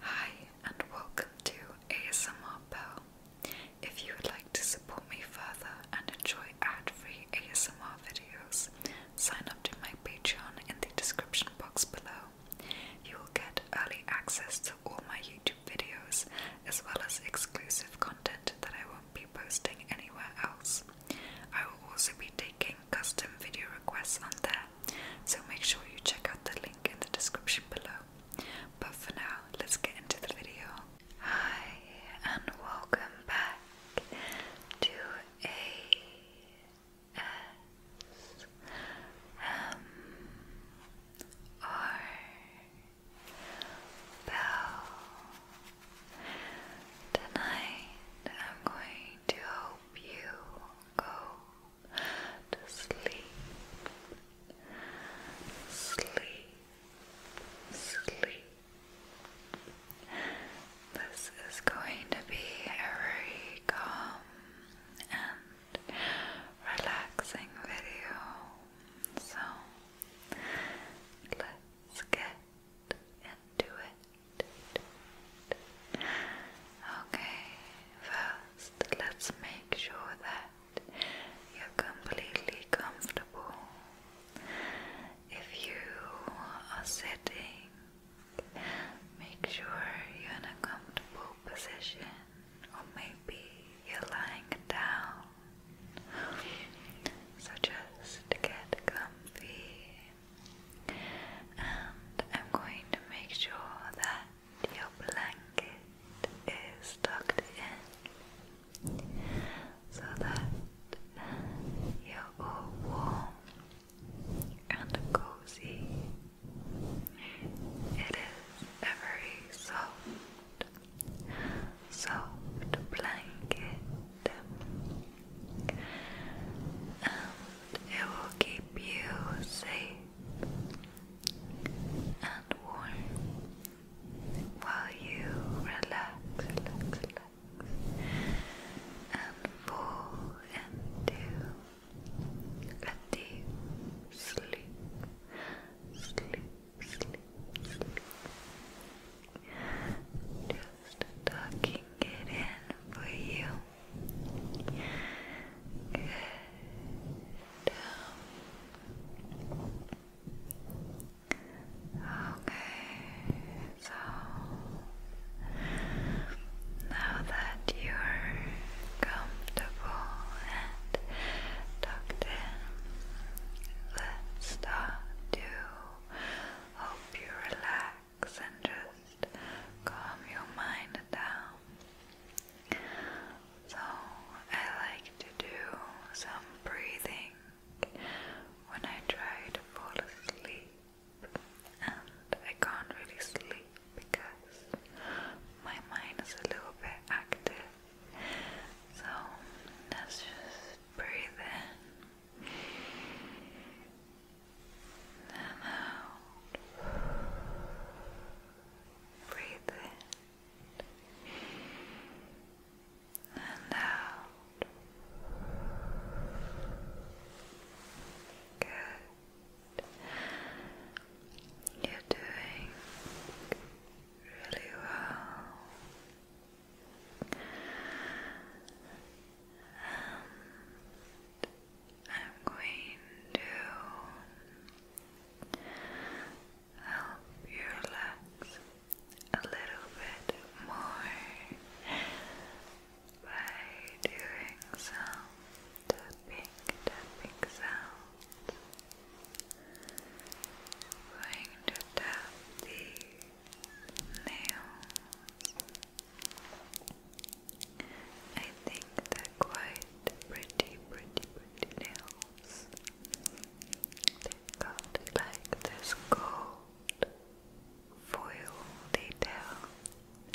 Hi and welcome to ASMR Bell. If you would like to support me further and enjoy ad-free ASMR videos, sign up to my Patreon in the description box below. You will get early access to all my YouTube videos as well as exclusive content that I won't be posting anywhere else. I will also be taking custom video requests on there so make sure you check out the link in the description below. But for now, let's get into the video. Hi, and welcome back to a S M R Tonight, I'm going to help you go to sleep, sleep, sleep. This is going to be a very calm and relaxing video, so let's get into it. Okay, well, just let's make sure that you're completely comfortable. If you are sitting, make sure you're in a comfortable position, or maybe you're lying down. So just get comfy and I'm going to make sure that your blanket is tucked in so that you're all warm and cozy. It is a very soft, soft blanket. Um, it will keep you safe and warm while you relax, and fall into a deep sleep, sleep, sleep, sleep. Just tucking it in for you. Good. Okay, so now that you're comfortable and tucked in, let's start to help you relax and just calm your mind down. So, I like to do some breathing when I try to fall asleep, and I can't really sleep because my mind is a little bit active. So, let's just breathe in and out. Breathe in and out. Good. You're doing really well. I'm going to help you relax a little bit more by doing some tapping, tapping sounds. going to tap the nail I think they're quite pretty, pretty, pretty nails. They've got like this gold foil detail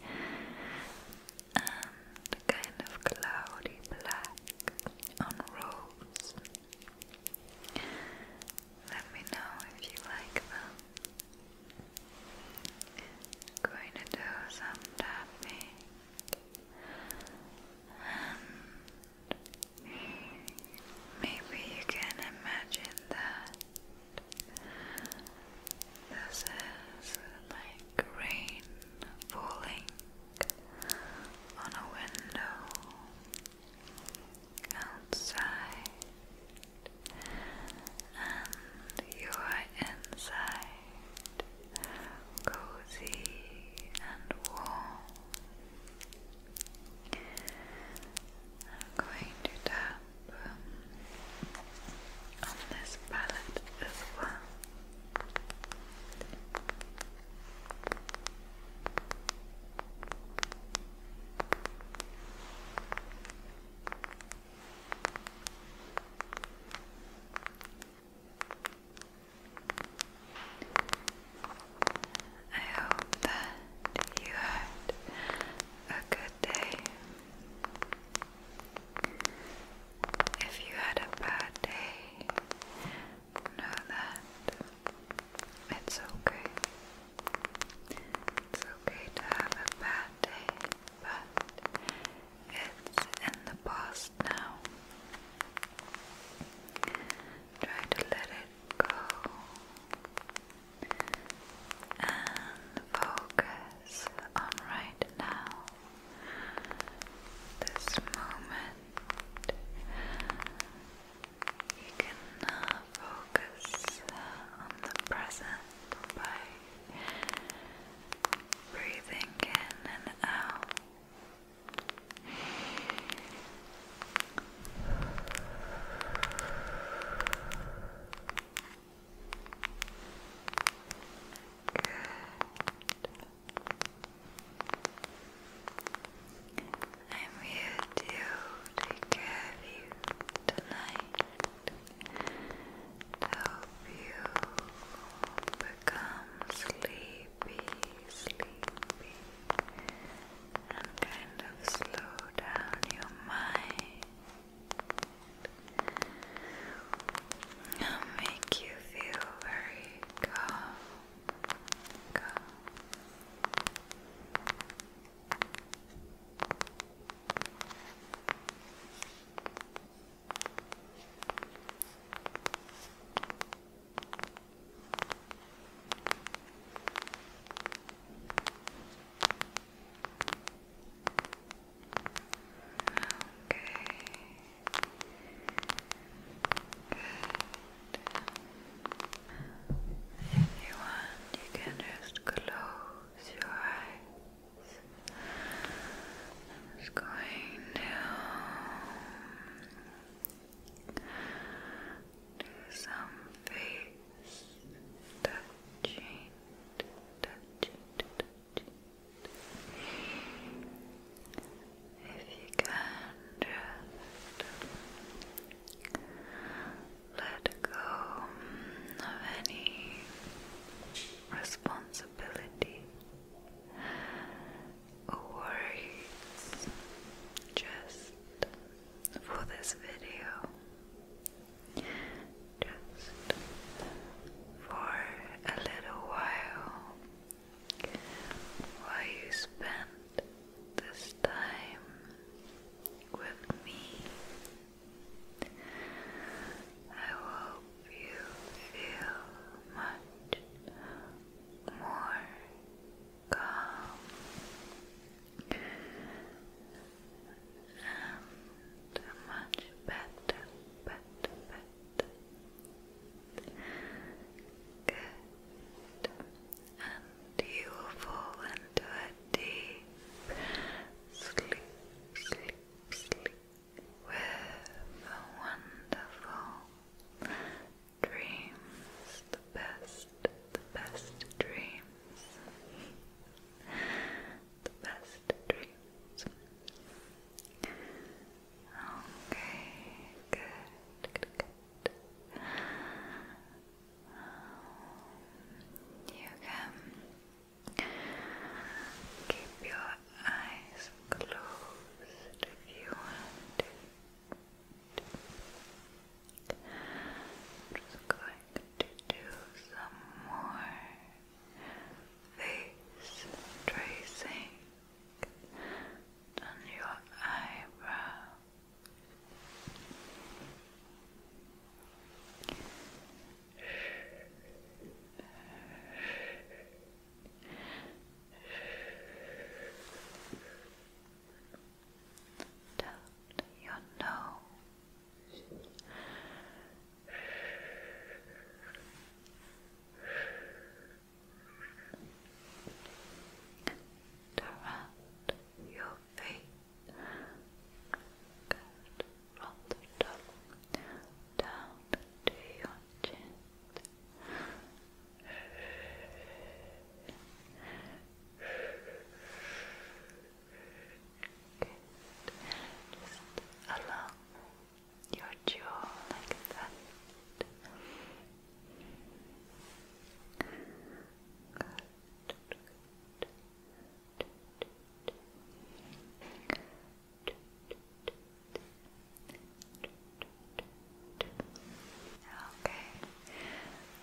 and kind of cloudy black on rose. Let me know if you like them. I'm going to do some tapping and um, maybe you can imagine that this is like rain falling on a window outside and you inside, cozy and warm. I'm going to tap um, on this palette as well. I hope that you had a good day. If you had a bad day, know that it's okay. It's okay to have a bad day, but it's in the past now. Try to let it go and focus on right now. This moment, you can uh, focus uh, on the present by breathing in and out. Good. I'm here to take you tonight help you become sleepy, sleepy, and kind of slow down your mind. it make you feel very calm. Good. You want you can just close your eyes. i going to some face touching, touching, touching. If you can just let go of any responsibility worries just for this video, just for a little while while you spend this time with me. I hope you feel much more calm and much better, better, better. Good and you will fall into a deep sleep, sleep, sleep with wonderful dreams, the best, the best dreams, the best dreams. Okay, good, good, good. You can keep your eyes closed if you want to. I'm just going to do some more face tracing on your eyebrows. Down your nose. Around your feet. Good. Roll the top down to your chin. Good. Just along your jaw like that. Okay,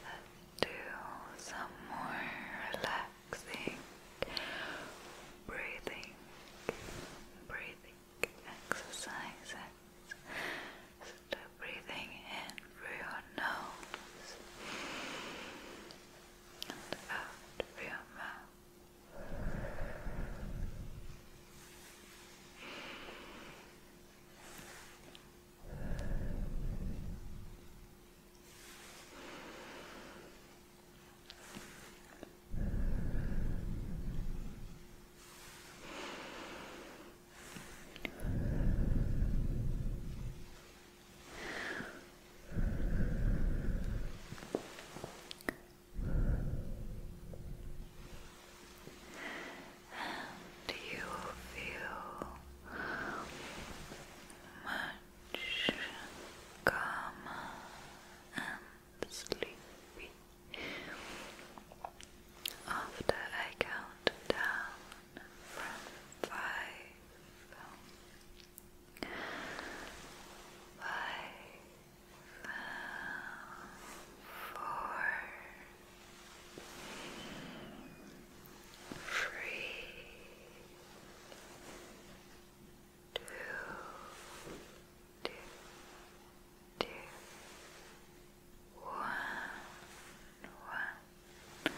let's do some more relaxing breathing, breathing exercises breathing in through your nose and out through your mouth. And um, you feel much calmer and sleepy after I count down from five. Five, four, three, two, two, two, one, one, one.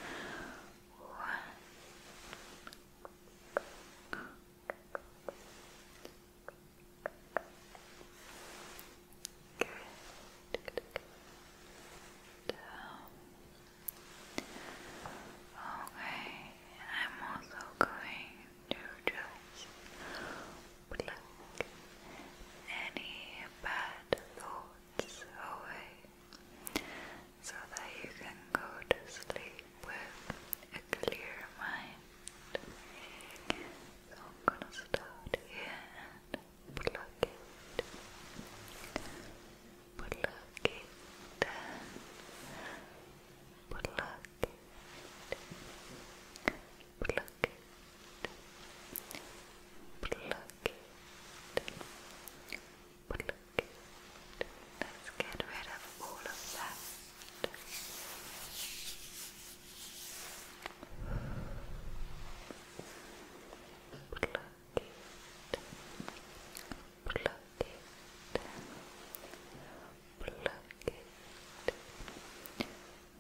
Good. Good. Good. Down. Okay, I'm also going to just pluck any bad thoughts thoughts away so that you can go to sleep with a clear mind. I'm gonna start here and pluck it. Pluck it. Pluck pluck it, pluck Let's get rid of all of that. Pluck it, pluck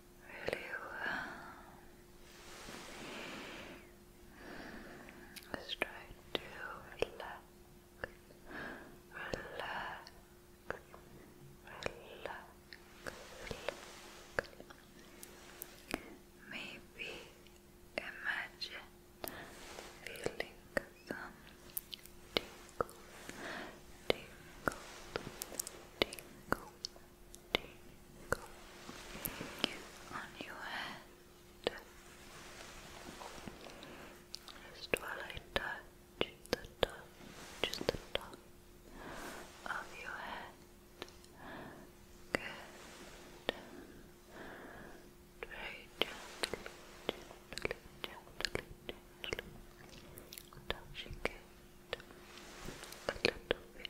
really you try to relax, relax, relax, relax. Maybe imagine feeling some tingle, tingle, tingle tingle on your head just while I touch the top, just the top of your head. Good. Very gently, gently, gently, gently touching it a little bit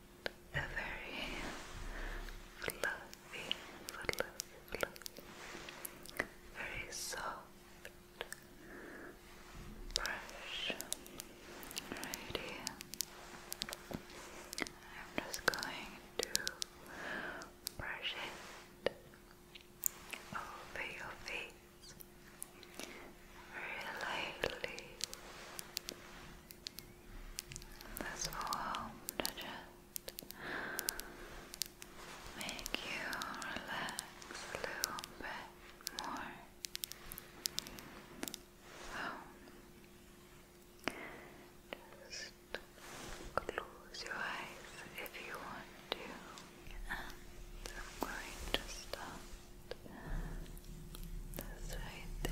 a very fluffy, fluffy, very soft brush right I'm just going to brush it over your face very this will just make you relax a little bit more just close your eyes if you want to and I'm going to stop that's right there.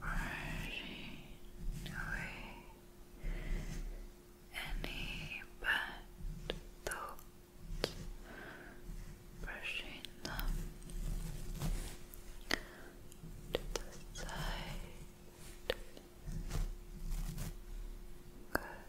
Brushing away any bad thoughts, brushing them to the side. Good.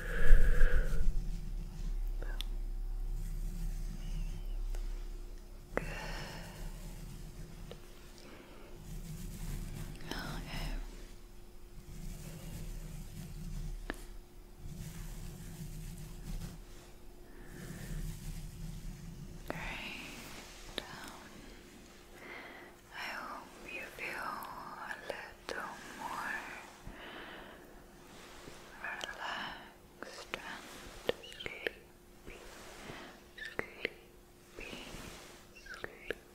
Good. Okay. Great. Down. I hope you feel a little more relaxed and sleepy, sleepy, sleepy. Try to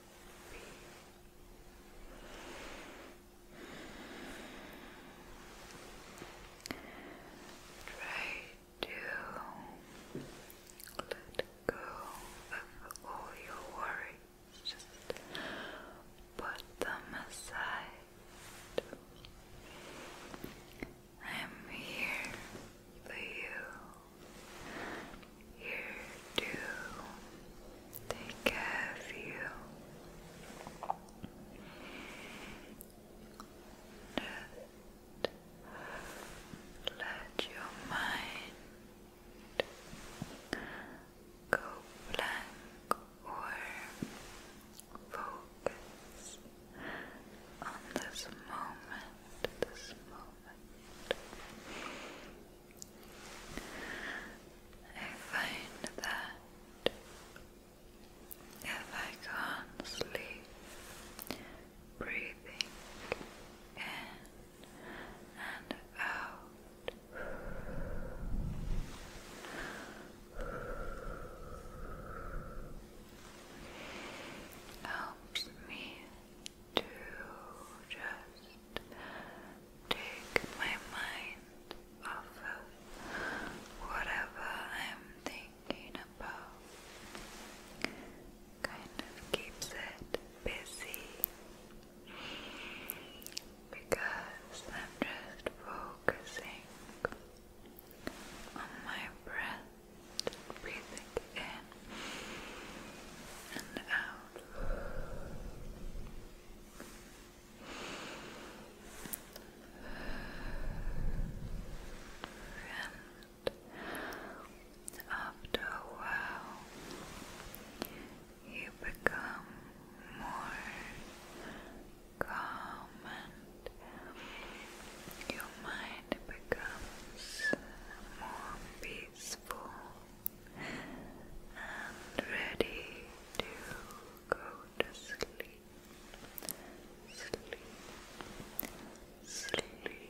let go of all your worries. Just put them aside. I'm here for you. Here to take care of you. Just let your mind go blank or focus on this moment, this moment. I find that if I can't sleep, breathing and out. Helps me to just take my mind off whatever I'm thinking about. Kind of keeps it busy because I'm just focusing on my breath, breathing in and out. And after a while, you become more calm and your mind becomes more peaceful and ready to go to sleep. Sleep, sleep,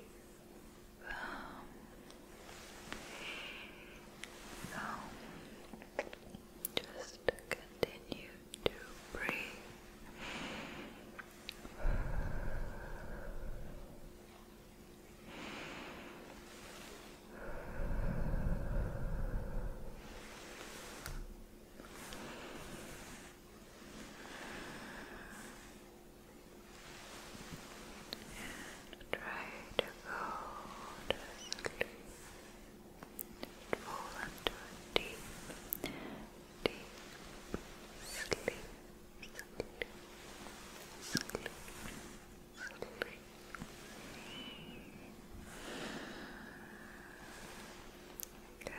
um, now, just continue to breathe. And try to go to sleep. Fall into deep, deep sleep. Sleep, sleep, sleep. Good. Good.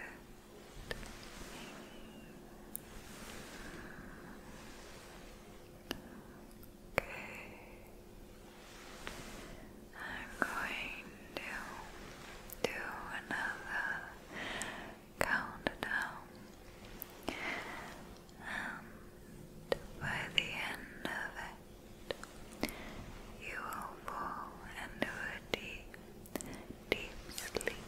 Okay. I'm going to do another countdown. And by the end of it, you will fall into a deep, deep sleep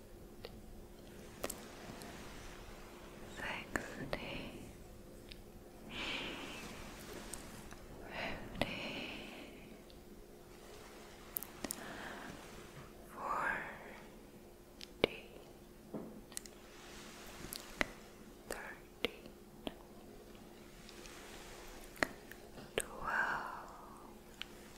sixty, fifty, forty, thirteen, twelve. Eleven,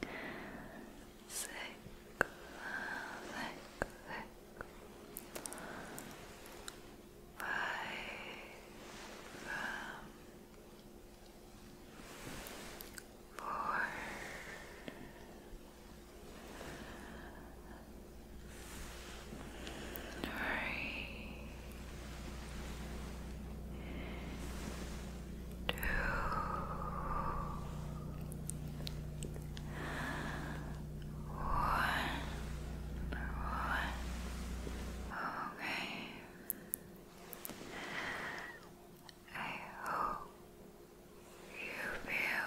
Sick, sick, two, one, one. Okay. I hope you feel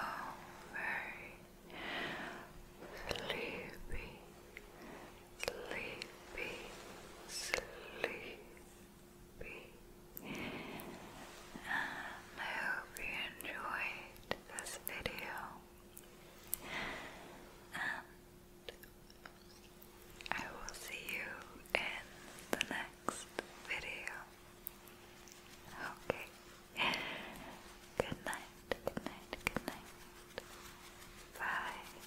very sleepy, sleepy, sleepy be. Um, I hope you enjoyed this video. And I will see you in the next video. Okay. Good night, good night, good night. Bye.